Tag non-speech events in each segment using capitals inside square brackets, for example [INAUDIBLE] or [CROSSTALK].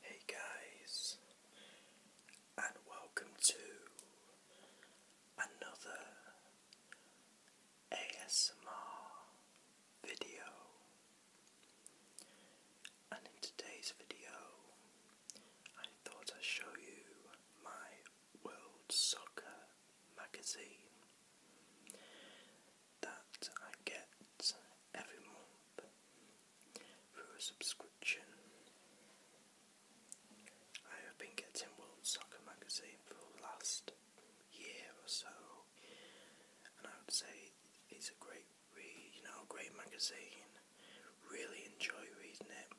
Hey guys, and welcome to another ASMR video. And in today's video, I thought I'd show you my World Soccer magazine that I get every month through a subscription. I have been getting World Soccer Magazine for the last year or so, and I would say it's a great read, you know, great magazine. Really enjoy reading it.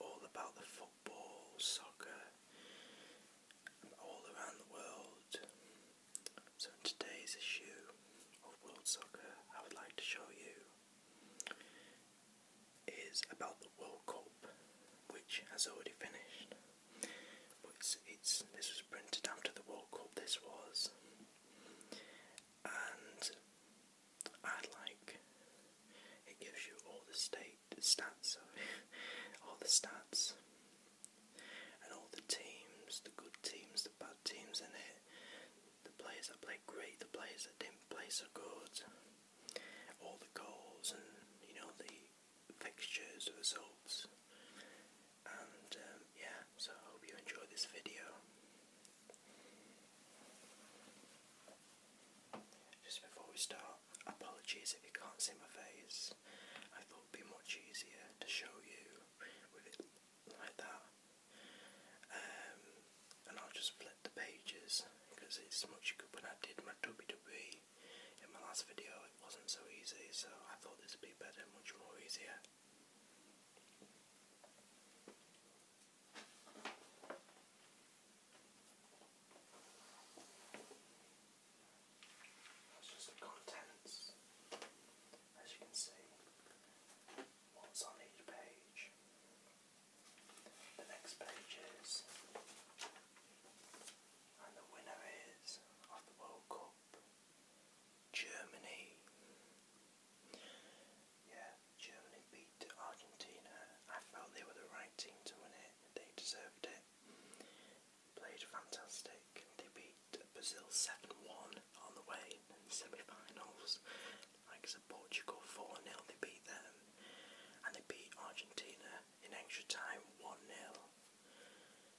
All about the football, soccer, all around the world. So today's issue of World Soccer, I would like to show you is about the World Cup, which has already finished. But it's, it's this was printed after the World Cup. This was, and I would like it gives you all the state stats, sorry, [LAUGHS] all the stats and all the teams, the good teams, the bad teams in it, the players that played great, the players that didn't play so good, all the goals and you know the fixtures, the results, and um, yeah. So I hope you enjoy this video. Just before we start, apologies if you can't see my face this. I thought it'd be much easier to show you with it like that. Um, and I'll just flip the pages because it's much good. When I did my WWE in my last video, it wasn't so easy, so I thought this would be better, much more easier just the contents. As you can see, what's on each page. The next page is, and the winner is of the World Cup, Germany. Yeah, Germany beat Argentina. I felt they were the right team to win it. They deserved it. Played fantastic. They beat Brazil 7-1 on the way in the semi-finals. Like I said, Portugal 4-0, they beat them. And they beat Argentina in extra time 1-0.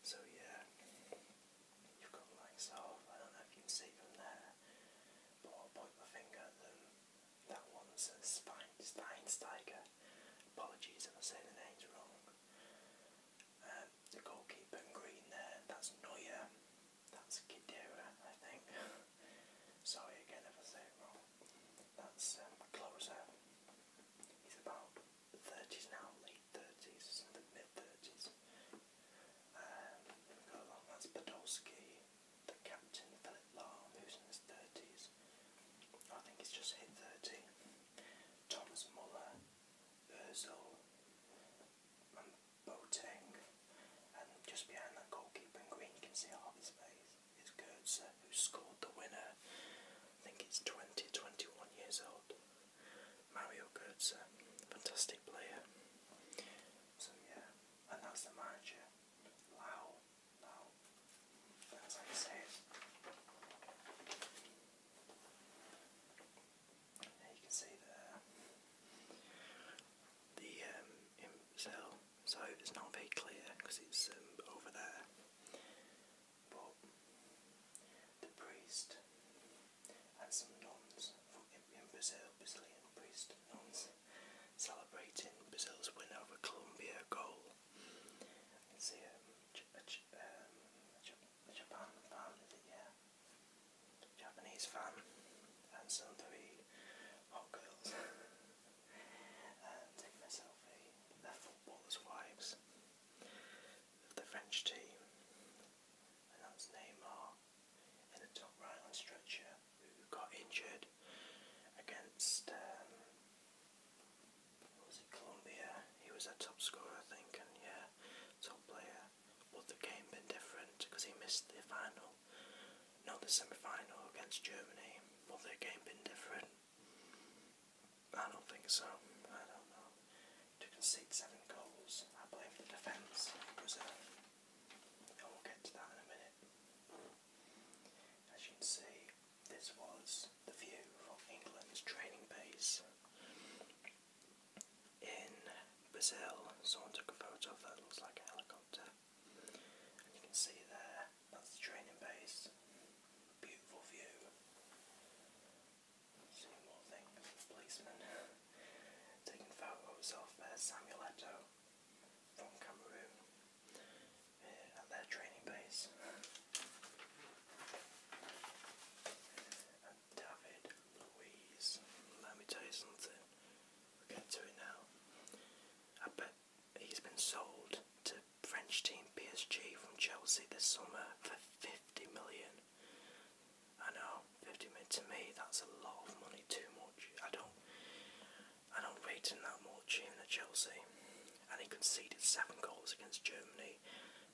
So yeah, you've got like so, I don't know if you can see from there, but i point my finger at them. That one's a Spine, Steinsteiger. Apologies if I say the name wrong. Um, the goalkeeper in green there, that's Neuer. That's Kidera, I think. [LAUGHS] Sorry again if I say it wrong. That's Closer. Um, He's about 30s now, late 30s, mid 30s. Um, go along, that's Podolski the captain, Philip Lahm, who's in his 30s, I think he's just hit 30, Thomas Muller, Özil, and Boateng, and just behind that goalkeeper green, you can see half his face, is Goetze, who scored the winner, I think he's 20, 21 years old, Mario Goetze, fantastic player. So yeah, and that's the manager, Lau, now, as I you can see there the cell. Um, so it's not very clear because it's um, over there. But the priest and some nuns Brazilian priest nuns, celebrating Brazil's win over Colombia goal. see um, uh, um, a, Japanese fan and some three hot girls [LAUGHS] taking a selfie. they footballers' wives. The French team, and Neymar in the top right on structure who got injured against um, was it Colombia? He was a top scorer, I think, and yeah, top player. Would the game been different because he missed the final, not the semi-final against Germany? Would the game been different? I don't think so. I don't know. Took six, seven goals. I blame the defence. was a as you can see, this was the view from England's training base in Brazil. Someone took a photo of that looks like a helicopter. And you can see there, that's the training base. Beautiful view. See more things, policemen taking photos of uh, Samuel Eto from Cameroon uh, at their training base. David Louise, let me tell you something, we get to it now. I bet he's been sold to French team PSG from Chelsea this summer for 50 million. I know, fifty mid to me that's a lot of money, too much. I don't I don't rate him that much in at Chelsea. And he conceded seven goals against Germany. i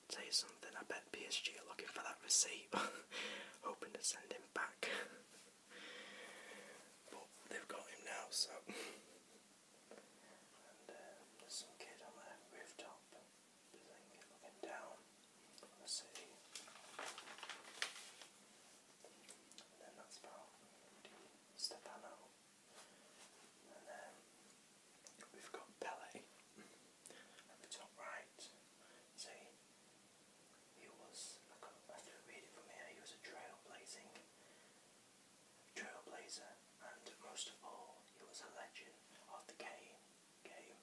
tell you something, I bet PSG are looking for that receipt, [LAUGHS] hoping to send him back. but they've got him now, so and uh, some kid on the rooftop looking down the city. And then that's about Stefano. And then we've got Pele at the top right. See, he was, I can't read it from here, he was a trailblazing trailblazer and most of all, he was a legend of the game. Okay,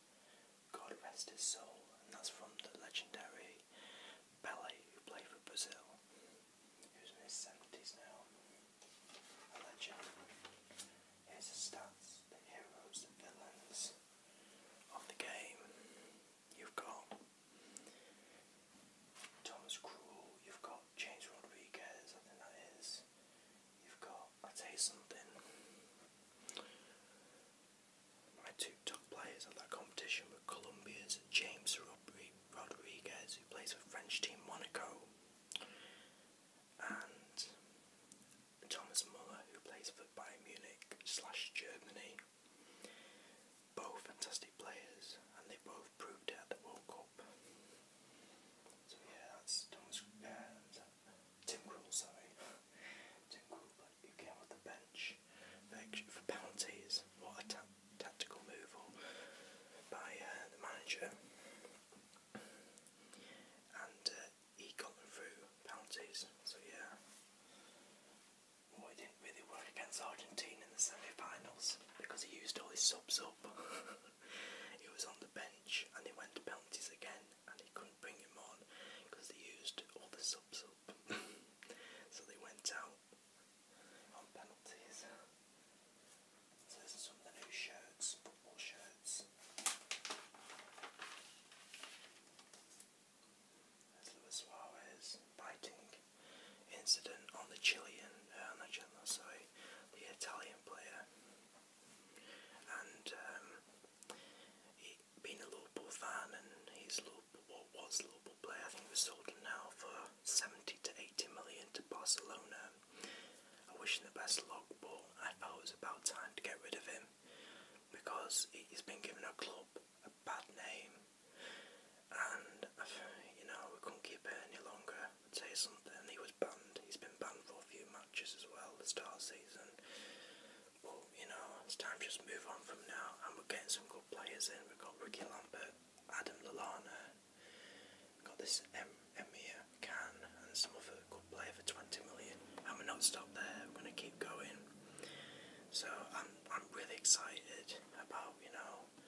God rest his soul, and that's from the legendary ballet who played for Brazil, who's in his seventies now. A legend. Here's the stats, the heroes, the villains of the game. You've got Thomas Cruel, you've got James Rodriguez, I think that is. You've got I tell you something. My two top players at that competition were Colombia's James Rodriguez, who plays for French team Monaco, and Thomas Muller, who plays for Bayern Munich slash Germany. Both fantastic players, and they both proved it at the World Cup. So yeah, that's Thomas. Uh, Tim Krul, sorry. Tim Krul, came off the bench for penalties. What a tactical move by uh, the manager. And uh, he got them through penalties, so yeah. it didn't really work against Argentina in the semi finals because he used all his subs up. [LAUGHS] He was on the bench and he went to penalties again and he couldn't bring him on because they used all the subs up. [LAUGHS] so they went out on penalties. So some of the new shirts, football shirts. There's Luis Suarez biting incident on the Chilean uh, on the channel, sorry, the Italian player. And um, he being a Liverpool fan and he's Liverpool, what was Liverpool player, I think he was sold now for 70 to 80 million to Barcelona. I wish him the best luck, but I thought it was about time to get rid of him because he's been giving a club a bad name and [SIGHS] you know we couldn't keep it any longer would say something. He was banned. He's been banned for a few matches as well this start of the season. But you know, it's time just move on from now. And we're getting some good players in. We've got Ricky Lambert, Adam Lallana, got this M Can and some other good player for 20 million. And we're not stopped there. We're gonna keep going. So I'm I'm really excited about you know